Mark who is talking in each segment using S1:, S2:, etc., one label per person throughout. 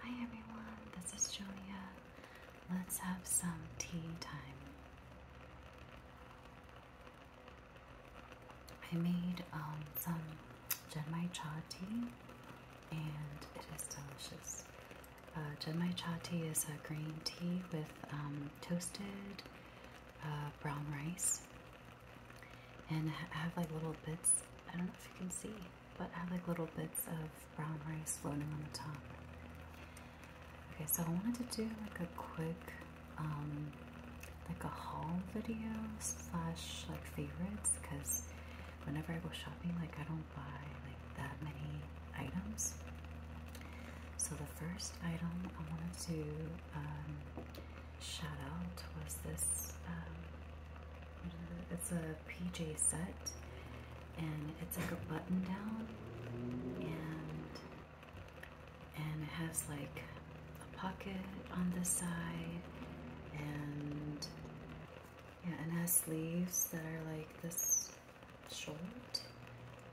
S1: Hi everyone, this is Julia. Let's have some tea time. I made um, some Genmai cha tea and it is delicious. Uh, Genmai cha tea is a green tea with um, toasted uh, brown rice and I have like little bits. I don't know if you can see but I like little bits of brown rice floating on the top. Okay, so I wanted to do like a quick, um, like a haul video slash like favorites because whenever I go shopping, like I don't buy like that many items. So the first item I wanted to um, shout out was this. Um, it's a PJ set, and it's like a button down, and and it has like a pocket on the side, and yeah, and has sleeves that are like this short,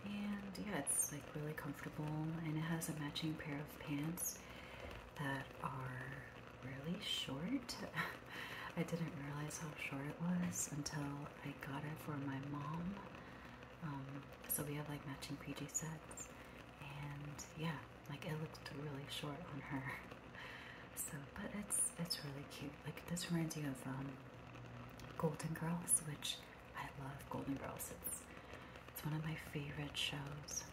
S1: and yeah, it's like really comfortable, and it has a matching pair of pants that are really short. I didn't realize how short it was until I got it for my mom. Um, so we have like matching PJ sets, and yeah, like it looked really short on her. So, but it's it's really cute. Like this reminds you of um, Golden Girls, which I love. Golden Girls. It's it's one of my favorite shows.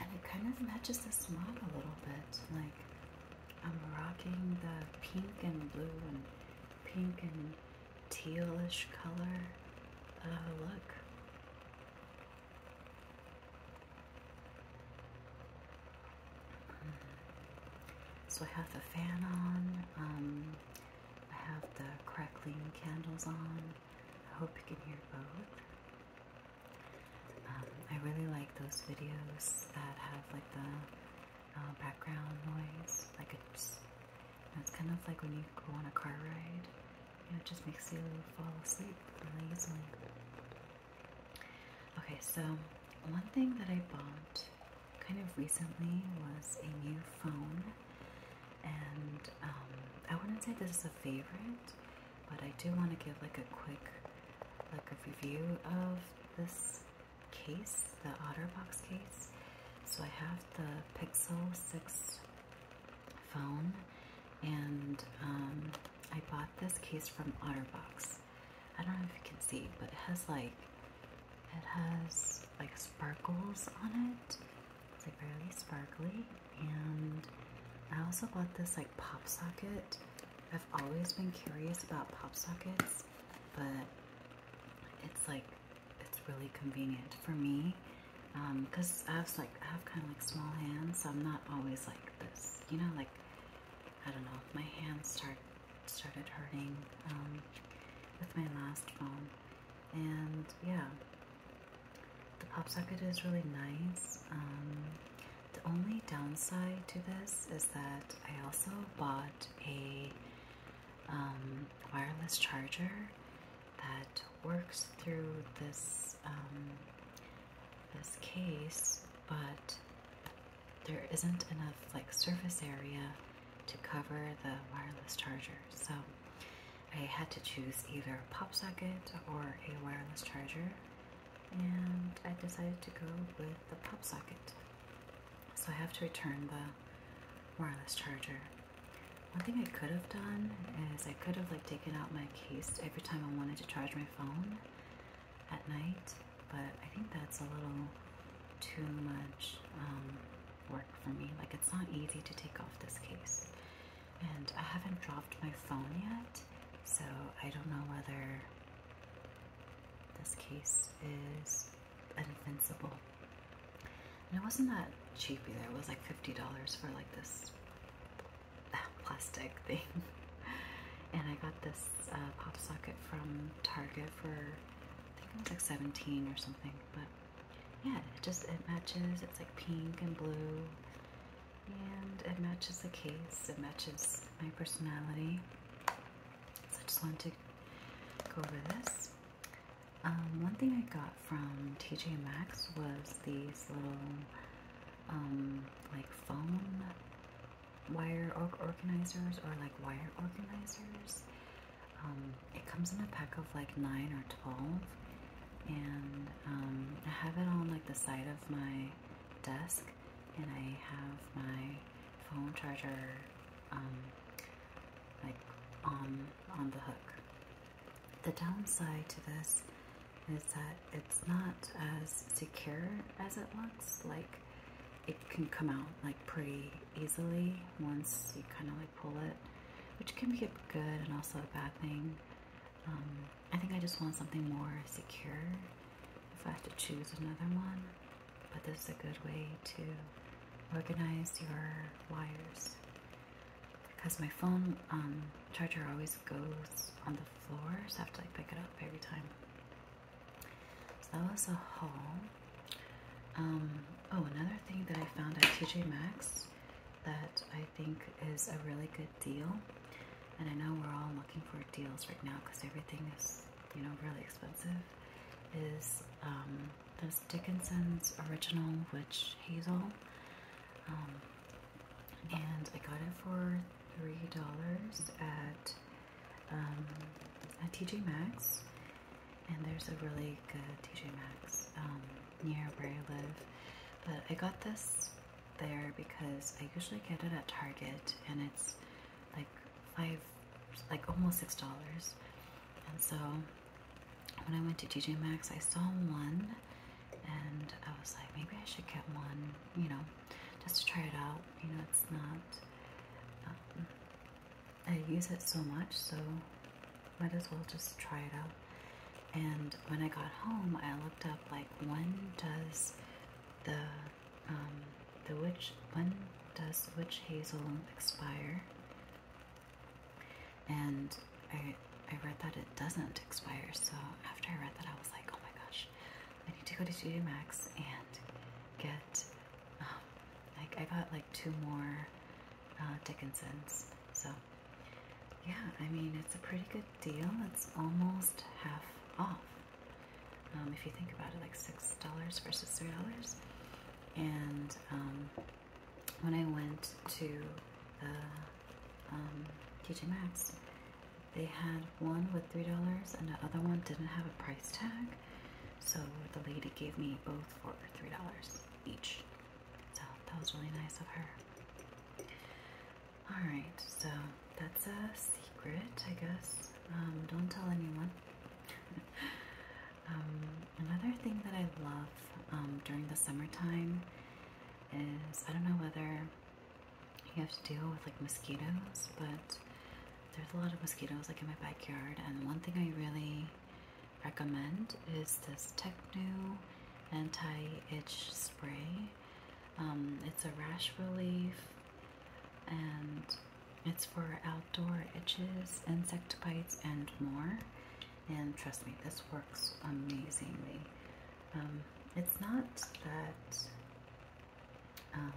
S1: And it kind of matches the mod a little bit. Like I'm rocking the pink and blue and pink and tealish color uh, look. Mm. So I have the fan on, um, I have the crackling candles on. I hope you can hear both. Um, I really like those videos that have like the uh, background noise, like it's, it's kind of like when you go on a car ride, it just makes you fall asleep really easily. Okay, so one thing that I bought kind of recently was a new phone and um, I wouldn't say this is a favorite, but I do want to give like a quick, like a review of this case, the OtterBox case. So I have the Pixel 6 phone, and um, I bought this case from OtterBox. I don't know if you can see, but it has like, it has like sparkles on it, it's like really sparkly. And I also bought this like pop socket. I've always been curious about pop sockets, but it's like it's really convenient for me because um, I have like I have kind of like small hands, so I'm not always like this. You know, like I don't know if my hands start started hurting um, with my last phone, and yeah, the pop socket is really nice. Um, the only downside to this is that I also bought a um, wireless charger that works through this um, this case, but there isn't enough like surface area to cover the wireless charger. So I had to choose either a pop socket or a wireless charger, and I decided to go with the pop socket. So I have to return the wireless charger. One thing I could have done is I could have like taken out my case every time I wanted to charge my phone at night, but I think that's a little too much um, work for me. Like it's not easy to take off this case and I haven't dropped my phone yet, so I don't know whether this case is invincible. And it wasn't that cheap either, it was like $50 for like this uh, plastic thing. and I got this uh, pop socket from Target for, I think it was like 17 or something, but yeah, it just, it matches, it's like pink and blue, and it matches the case, it matches my personality. So I just wanted to go over this. Um, one thing I got from TJ Maxx was these little um, like phone wire organizers or like wire organizers. Um, it comes in a pack of like 9 or 12 and um, I have it on like the side of my desk, and I have my phone charger um, like on on the hook. The downside to this is that it's not as secure as it looks. Like it can come out like pretty easily once you kind of like pull it, which can be a good and also a bad thing. Um, I think I just want something more secure if I have to choose another one. But this is a good way to organize your wires. Because my phone um, charger always goes on the floor, so I have to like, pick it up every time. So that was a haul. Um, oh, another thing that I found at TJ Maxx that I think is a really good deal. And I know we're all looking for deals right now because everything is, you know, really expensive. Is um, this Dickinson's original Witch Hazel? Um, and I got it for three dollars at um, TJ Maxx, and there's a really good TJ Maxx near where I live. But I got this there because I usually get it at Target and it's like five, like almost six dollars. And so when I went to TJ Maxx, I saw one and I was like, maybe I should get one, you know, just to try it out. You know, it's not, um, I use it so much, so might as well just try it out. And when I got home, I looked up like when does the um, the witch when does witch hazel expire? And I I read that it doesn't expire. So after I read that, I was like, oh my gosh, I need to go to TJ Maxx and get um, like I got like two more uh, Dickinsons. So yeah, I mean, it's a pretty good deal. It's almost half off. Um, if you think about it, like $6 versus $3. And um, when I went to the um, TJ Maxx, they had one with $3 and the other one didn't have a price tag. So the lady gave me both for $3 each. So that was really nice of her. Alright, so that's a secret, I guess. Um, don't tell anyone. Um, another thing that I love um, during the summertime is I don't know whether you have to deal with like mosquitoes, but there's a lot of mosquitoes like in my backyard. And one thing I really recommend is this Technu anti-itch spray um, it's a rash relief and it's for outdoor itches, insect bites, and more. And trust me, this works amazingly. Um, it's not that um,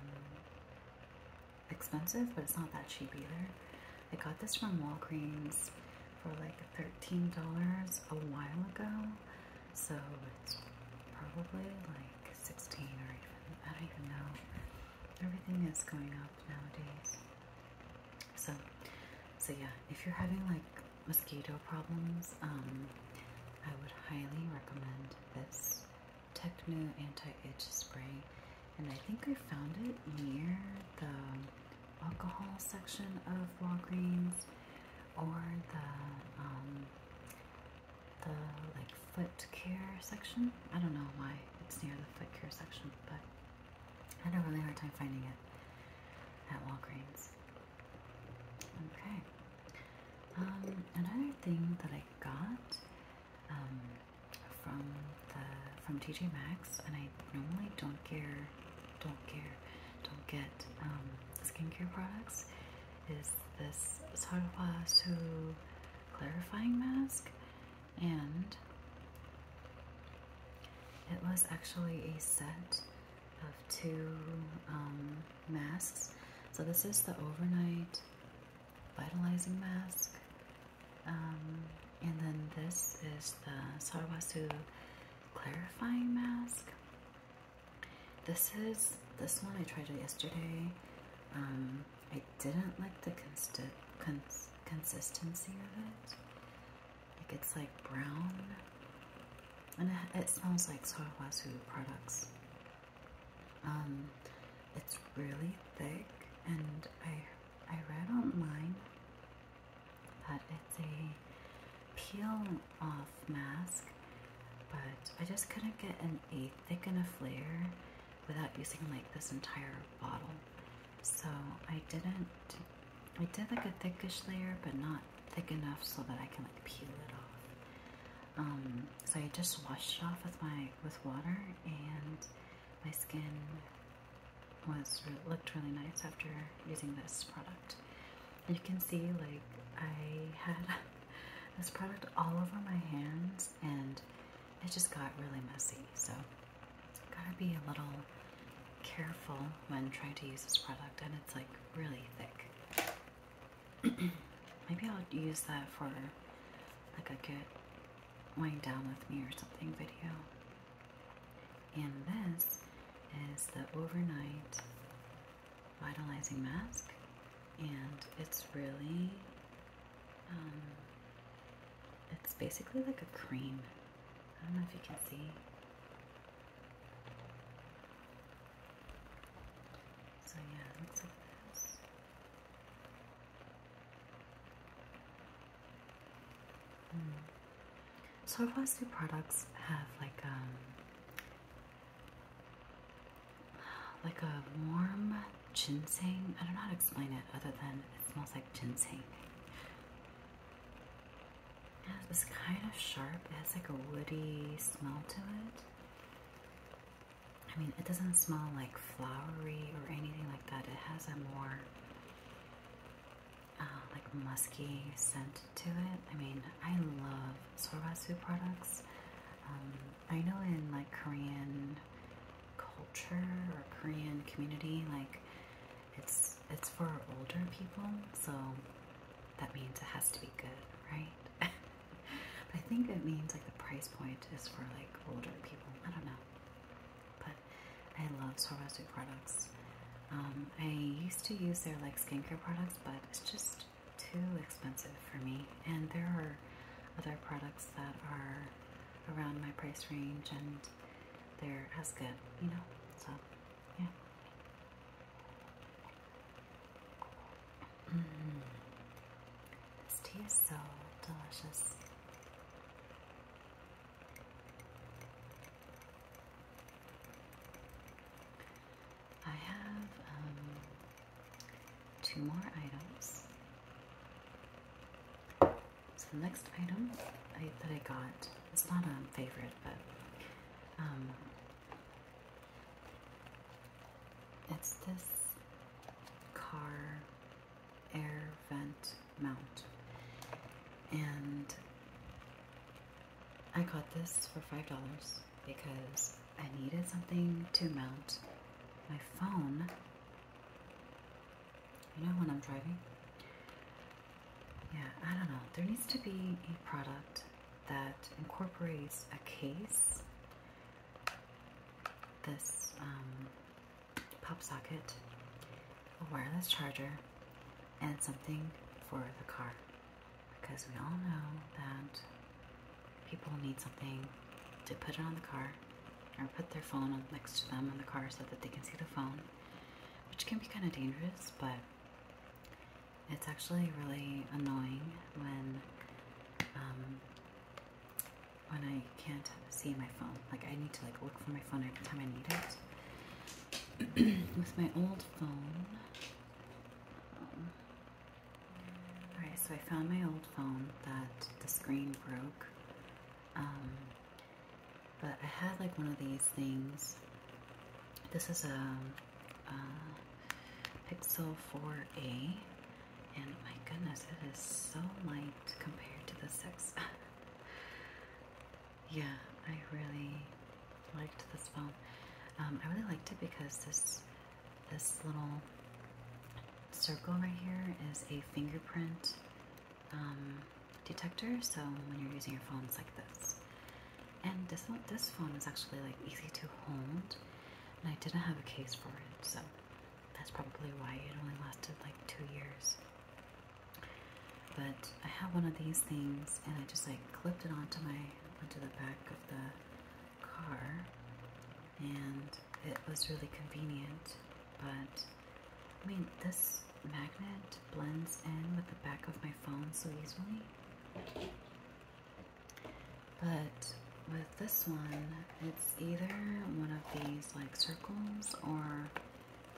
S1: expensive, but it's not that cheap either. I got this from Walgreens for like $13 a while ago. So it's probably like 16 or even, I don't even know. Everything is going up nowadays. So, so yeah, if you're having like mosquito problems, um, I would highly recommend this Techno Anti-Itch Spray. And I think I found it near the alcohol section of Walgreens or the um, the like foot care section. I don't know why it's near the foot care section, but I had a really hard time finding it at Walgreens. Okay. Um, another thing that I got um, from the from TJ Maxx, and I normally don't care don't care, don't get um, skincare products is this Sarawasu clarifying mask, and it was actually a set of two um, masks. So this is the overnight vitalizing mask. Um, and then this is the Sarawasu clarifying mask. This is this one I tried yesterday. Um, I didn't like the consi consistency of it. Like it's like brown, and it, smells like Soawazu products. Um, it's really thick, and I I read online but it's a peel off mask. But I just couldn't get an, a thick enough layer without using like this entire bottle. So I didn't, I did like a thickish layer, but not thick enough so that I can like peel it off. Um, so I just washed it off with my, with water and my skin was, looked really nice after using this product you can see like I had this product all over my hands and it just got really messy. So gotta be a little careful when trying to use this product and it's like really thick. Maybe I'll use that for like a good wind down with me or something video. And this is the overnight vitalizing mask, and it's really, um, it's basically like a cream. I don't know if you can see. So, yeah, it looks like this. Hmm. So, our products have like um, like a warm ginseng. I don't know how to explain it other than it smells like ginseng. It's kind of sharp, it has like a woody smell to it. I mean, it doesn't smell like flowery or anything like that. It has a more uh, like musky scent to it. I mean, I love sorbasu products. Um, I know in like Korean culture or Korean community, like it's it's for older people, so that means it has to be good, right? but I think it means like the price point is for like older people. I don't know, but I love sorbasu products. Um, I used to use their like skincare products, but it's just too expensive for me. And there are other products that are around my price range and they're as good, you know? So, yeah. Mm. This tea is so delicious. I have um, two more items. So next item that I got, it's not a favorite, but um, it's this car air vent mount. And I got this for $5 because I needed something to mount my phone. You know when I'm driving? Yeah, I don't know. There needs to be a product that incorporates a case, this um, pop socket, a wireless charger, and something for the car because we all know that people need something to put it on the car or put their phone next to them on the car so that they can see the phone, which can be kind of dangerous, but it's actually really annoying when um, when I can't see my phone. Like I need to like look for my phone every time I need it. With my old phone, um, alright, so I found my old phone that the screen broke. Um, but I had like one of these things. This is a Pixel 4a. And my goodness, it is so light compared to the 6. yeah, I really liked this film. Um, I really liked it because this this little circle right here is a fingerprint um, detector. So when you're using your phone, it's like this. And this this phone is actually like easy to hold, and I didn't have a case for it, so that's probably why it only lasted like two years. But I have one of these things, and I just like clipped it onto my onto the back of the car, and it was really convenient. But I mean, this magnet blends in with the back of my phone so easily. But with this one, it's either one of these like circles or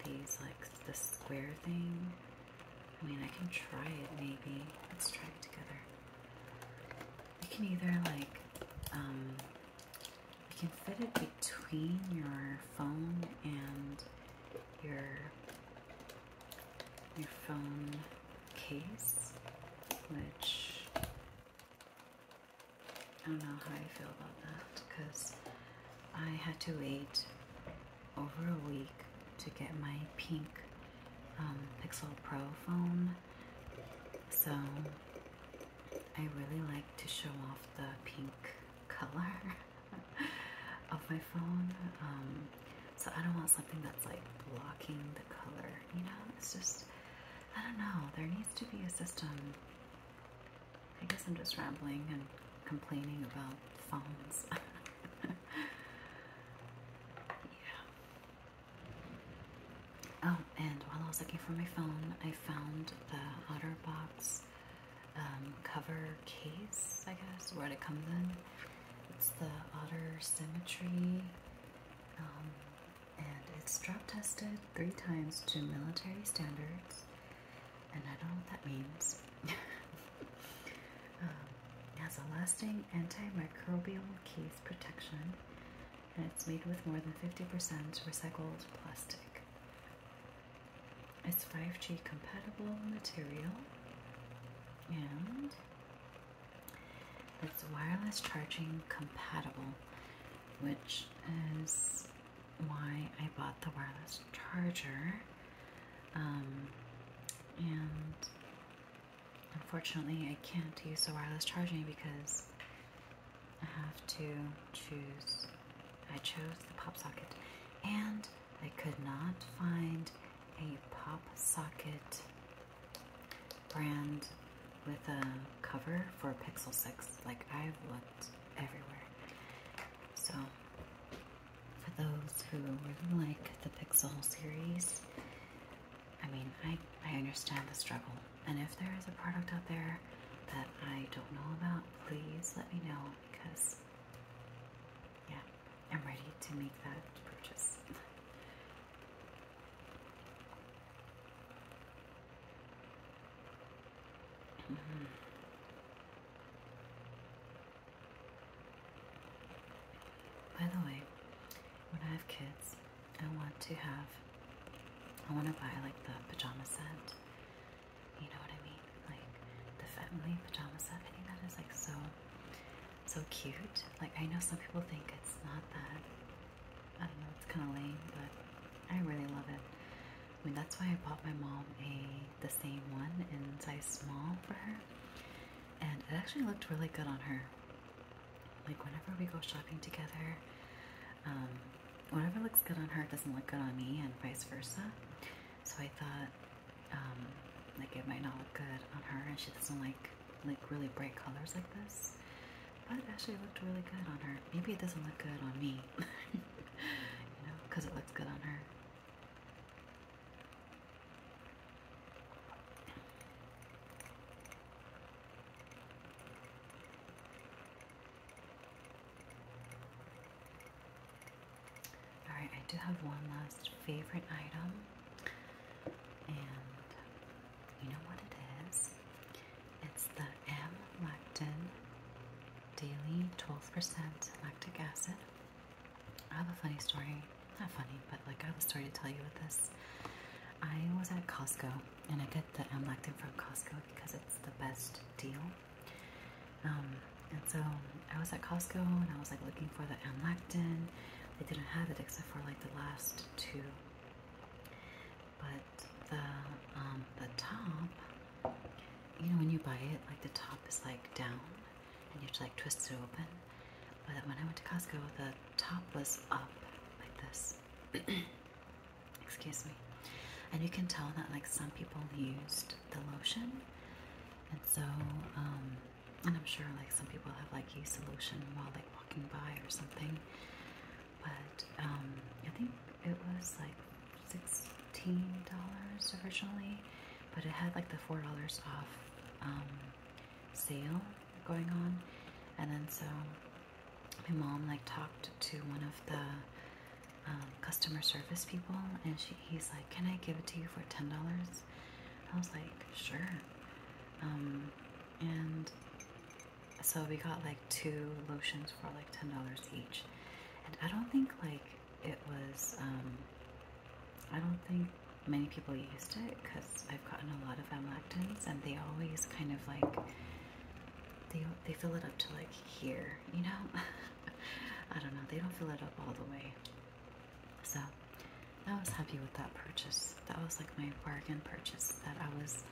S1: these like the square thing I mean, I can try it maybe. Let's try it together. You can either like, um, you can fit it between your phone and your your phone case, which I don't know how I feel about that because I had to wait over a week to get my pink um, Pixel Pro phone. So I really like to show off the pink color of my phone. Um, so I don't want something that's like blocking the color, you know? It's just, I don't know. There needs to be a system. I guess I'm just rambling and complaining about phones. yeah. Oh, and while I was looking for my phone, I found the OtterBox um, cover case, I guess, where it comes in. It's the Otter Symmetry, um, and it's drop tested three times to military standards, and I don't know what that means. Um, has a lasting antimicrobial case protection, and it's made with more than 50% recycled plastic. It's 5G compatible material, and it's wireless charging compatible, which is why I bought the wireless charger. Um, and Unfortunately, I can't use the wireless charging because I have to choose. I chose the pop socket, and I could not find a pop socket brand with a cover for Pixel 6. Like, I've looked everywhere. So, for those who really like the Pixel series, I mean, I, I understand the struggle. And if there is a product out there that I don't know about, please let me know because, yeah, I'm ready to make that purchase. Mm-hmm. By the way, when I have kids, I want to have, I want to buy like the pajama set. You know what I mean? Like the family pajama set. I think that is like so, so cute. Like I know some people think it's not that. I don't know, it's kind of lame, but I really love it. I mean, that's why I bought my mom a the same one in size small for her, and it actually looked really good on her. Like whenever we go shopping together, um, whatever looks good on her doesn't look good on me, and vice versa. So I thought, um, like it might not look good on her, and she doesn't like like really bright colors like this. But actually, it looked really good on her. Maybe it doesn't look good on me, you know, because it looks good on her. Alright, I do have one last favorite item, and you know what it is? It's the M Lactin Daily 12% Lactic Acid. I have a funny story. Not funny, but like I have a story to tell you with this. I was at Costco and I get the amlactin from Costco because it's the best deal. Um, and so I was at Costco and I was like looking for the amlactin. They didn't have it except for like the last two. But the um, the top, you know, when you buy it, like the top is like down, and you have to like twist it open. But when I went to Costco, the top was up like this. Excuse me. And you can tell that like some people used the lotion. And so, um, and I'm sure like some people have like used the lotion while like walking by or something. But um, I think it was like $16 originally, but it had like the $4 off um, sale going on and then so my mom like talked to one of the um, customer service people and she he's like can I give it to you for ten dollars I was like sure um, and so we got like two lotions for like ten dollars each and I don't think like it was um, I don't think many people used it because I've gotten a lot of amlactins and they always kind of like they they fill it up to like here, you know. I don't know. They don't fill it up all the way. So I was happy with that purchase. That was like my bargain purchase that I was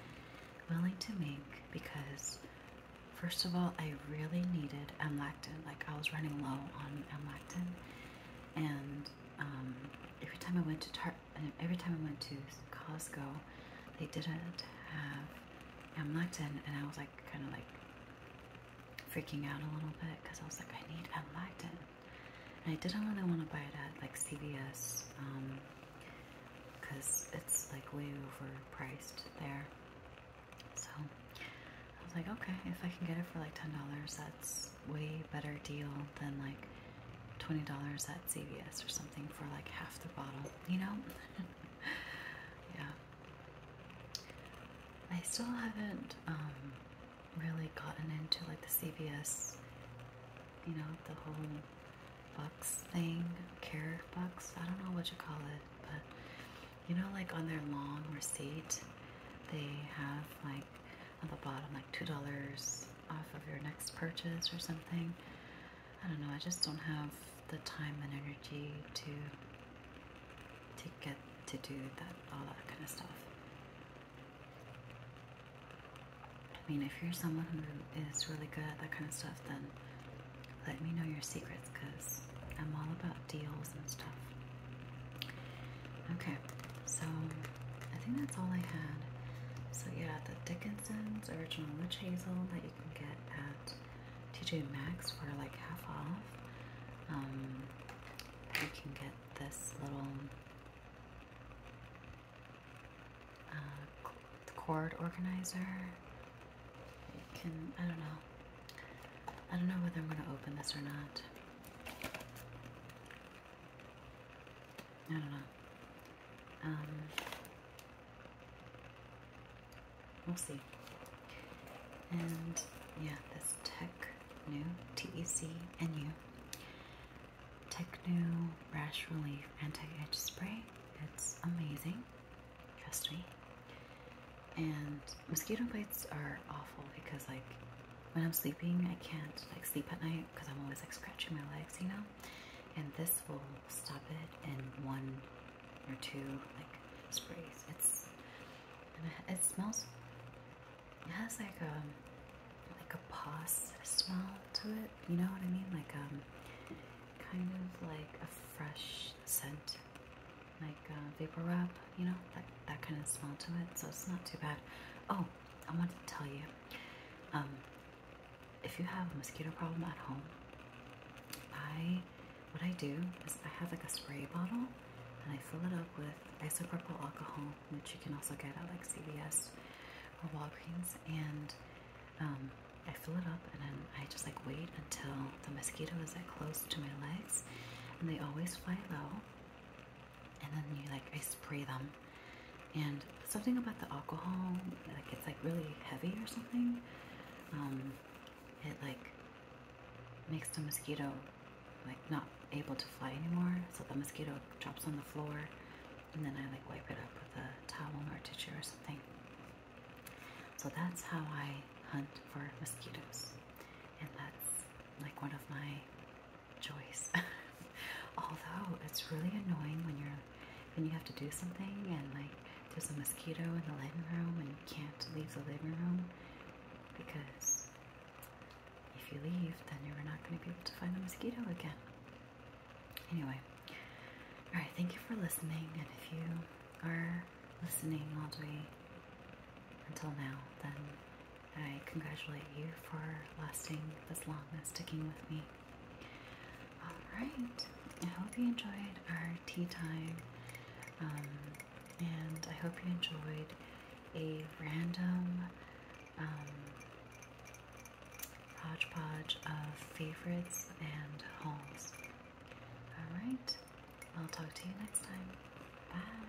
S1: willing to make because first of all, I really needed amlactin. Like I was running low on amlactin and um, every time I went to Tar every time I went to Costco, they didn't have amlectin, and I was like kind of like freaking out a little bit because I was like, I need amlectin, and I didn't really want to buy it at like CVS because um, it's like way overpriced there. So I was like, okay, if I can get it for like ten dollars, that's way better deal than like $20 at CVS or something for like half the bottle, you know? yeah. I still haven't um, really gotten into like the CVS, you know, the whole bucks thing, care bucks. I don't know what you call it, but you know, like on their long receipt, they have like at the bottom, like $2 off of your next purchase or something. I don't know, I just don't have the time and energy to to get to do that all that kind of stuff. I mean if you're someone who is really good at that kind of stuff then let me know your secrets because I'm all about deals and stuff. Okay, so I think that's all I had. So yeah, the Dickinson's original witch hazel that you can get at TJ Maxx for like half off. Um, you can get this little uh, cord organizer. You can, I don't know. I don't know whether I'm going to open this or not. I don't know. Um, we'll see. And yeah, this Tech New, T E C N U, Tech New Rash Relief Anti Itch Spray. It's amazing, trust me. And mosquito bites are awful because, like, when I'm sleeping, I can't like sleep at night because I'm always like scratching my legs, you know. And this will stop it in one or two like sprays. It's it smells. It has like um like a pos smell to it. You know what I mean? Like um, kind of like a fresh scent, like uh, vapor wrap. You know that that kind of smell to it. So it's not too bad. Oh, I wanted to tell you um, if you have a mosquito problem at home, I what I do is I have like a spray bottle and I fill it up with isopropyl alcohol, which you can also get at like CVS or Walgreens, and um, I fill it up and then I just like wait until the mosquito is that close to my legs, and they always fly low and then you like I spray them and something about the alcohol like it's like really heavy or something um, it like makes the mosquito like not able to fly anymore so the mosquito drops on the floor and then I like wipe it up with a towel or a tissue or something so that's how I hunt for mosquitoes and that's like one of my choice. Although it's really annoying when you're when you have to do something and like there's a mosquito in the living room and you can't leave the living room because if you leave, then you're not going to be able to find the mosquito again. Anyway, all right. Thank you for listening, and if you are listening all the way until now, then I congratulate you for lasting this long and sticking with me. Alright, I hope you enjoyed our tea time, um, and I hope you enjoyed a random um, hodgepodge of favorites and hauls. Alright, I'll talk to you next time. Bye!